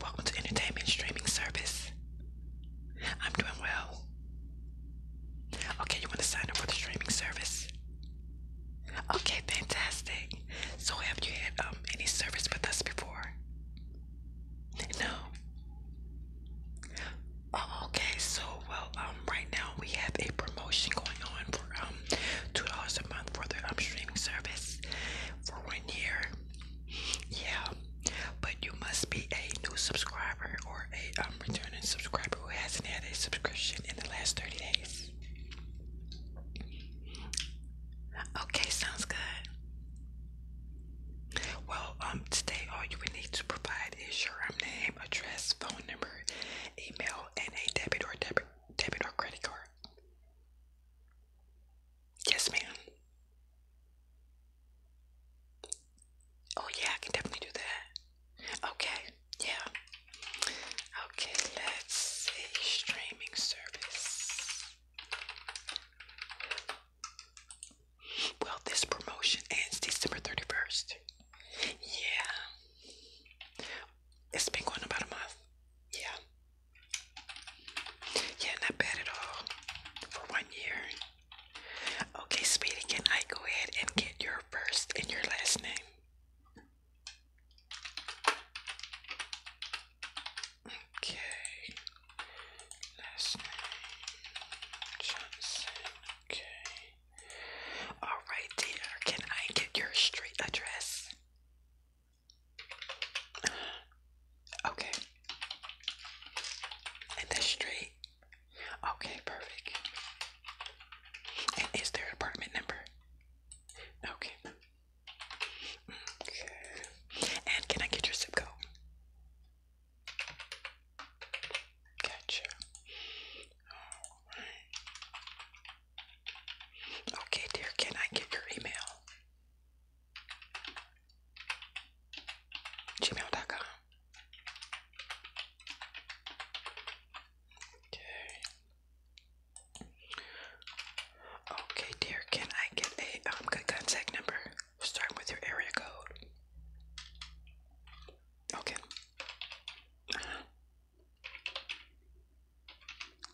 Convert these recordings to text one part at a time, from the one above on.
Welcome to Entertainment Streaming Service. I'm doing well. Okay, you want to sign up for the streaming service? Okay, fantastic. So, have you had um, any service with us before? No. Oh, okay, so well, um, right now we have a promotion going on for um two dollars a month for the um, streaming service for one year. Yeah, but you must be a new subscriber or a um, returning subscriber who hasn't had a subscription in the last thirty days. Okay, sounds good. Well, um, today all you would need to provide is your um, name, address, phone number, email, and a debit or debit debit or credit card. Yes, ma'am. Oh, yeah, I can definitely do that. Okay, yeah. Okay, let's see. Streaming service. Well, this promotion ends December 31st. Yeah. It's been going about a month. Yeah. Yeah, not bad at all. For one year. Okay, Speedy, can I go ahead and get your first and your last name? Okay. Last name Johnson. Okay. All right, dear. Can I get your street address? Okay. And that's straight. Okay, perfect. And is there an apartment number? Okay. Okay. And can I get your zip code? Gotcha. Alright. Okay, dear, can I get your email? Gmail.com. Okay. Okay, dear, can I get a um, good contact number? Starting with your area code. Okay. Uh-huh.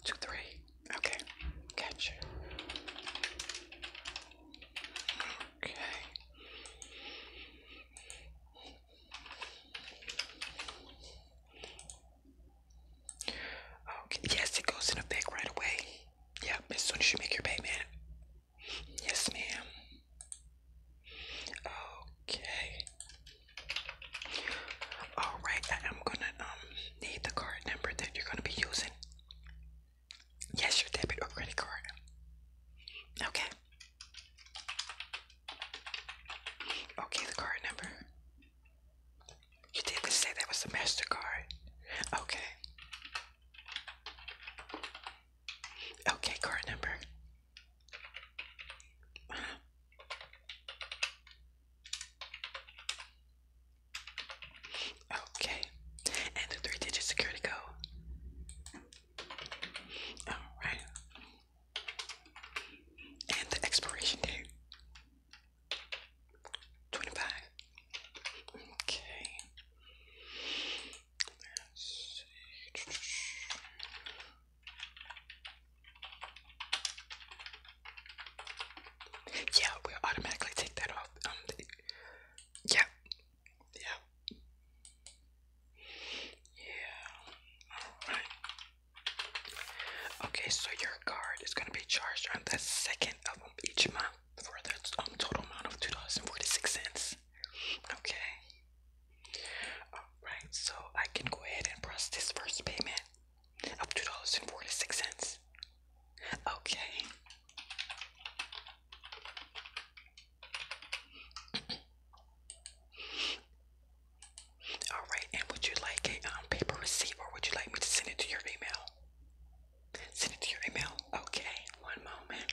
Two, three. Okay. Catch Okay. Okay. Yes, it goes in the bank right away. Yep, as soon as you make your payment. Yes, ma'am. Okay. All right, I am gonna um need the card number that you're gonna be using. Yes, your debit or credit card. Okay. Okay, the card number. You did say that was the MasterCard. Okay. Okay, card number. Okay, and the three digit security code. Alright, and the expiration date 25. Okay, let's see. Yeah, we'll automatically take that off. Um, yeah, yeah, yeah. All right. Okay, so your card is gonna be charged on the second of each month for the um, total amount of two dollars and forty six cents. Okay. Alright, so I can go ahead and press this first payment of $2.46. Okay. Alright, and would you like a um, paper receipt or would you like me to send it to your email? Send it to your email. Okay, one moment.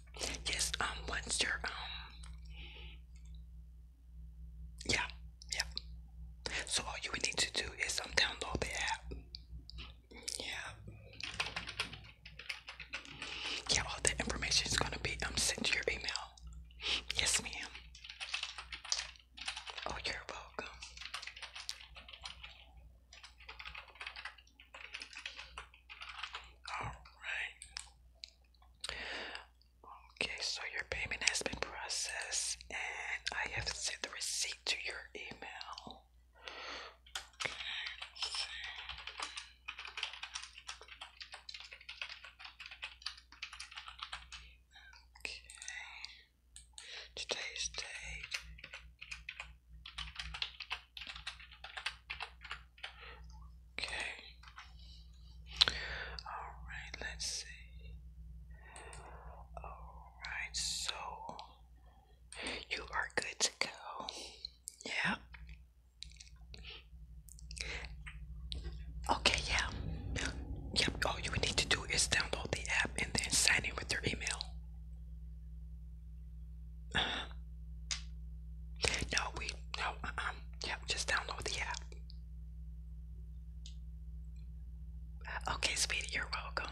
Yes, um, what's your, um, yeah, yeah. So all you would need to do is um, download the app. Yeah. Yeah, all the information is gonna be um sent to your email. Yes, ma'am. Oh, you're welcome. All right. Okay, so your payment has been processed, and I have sent the receipt to your email. Okay, Today's date Okay. Alright, let's see. Alright, so you are good to go. Yeah. Okay, yeah. Yep, all you need to do is download the app and then sign in with your email. No, we no. Um, yeah, just download the app. Okay, sweetie, you're welcome.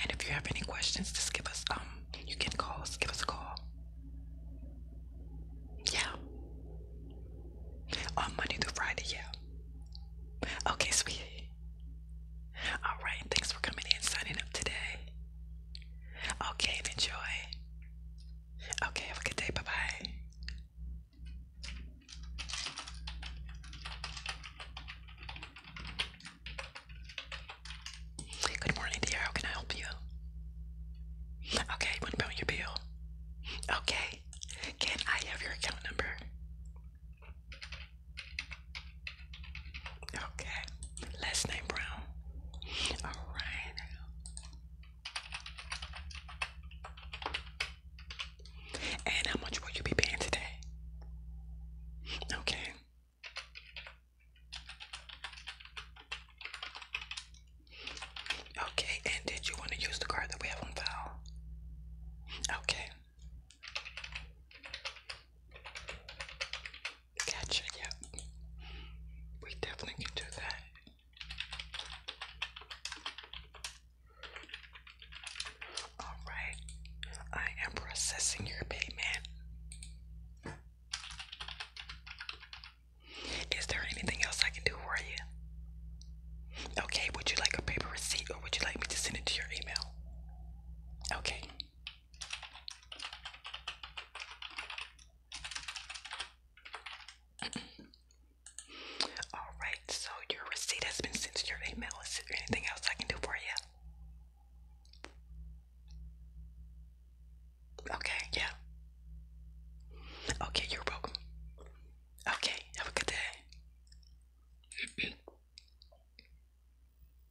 And if you have any questions, just give us um. You can call Give us a call. Yeah. On Monday through Friday, yeah. Okay, sweetie. All right. Thanks for coming in, signing up today. Okay, enjoy. Okay, have a good day. Bye bye. Good morning, dear. How can I help you? Okay, you want to your bill? Okay. Can I have your account number? Okay. Last name Brown. All right. And how much will you be paying today? Okay. Okay, and did you want to use the card that we have on file? Okay. Gotcha, yep. We definitely can do that. Alright, I am processing your payment. Is there anything else I can do for you? Okay, would you like a paper receipt or would you like me to send it to your email? Okay, all right, so your receipt has been sent to your email. Is there anything else I can do for you? Okay, yeah. Okay, you're welcome. Okay, have a good day.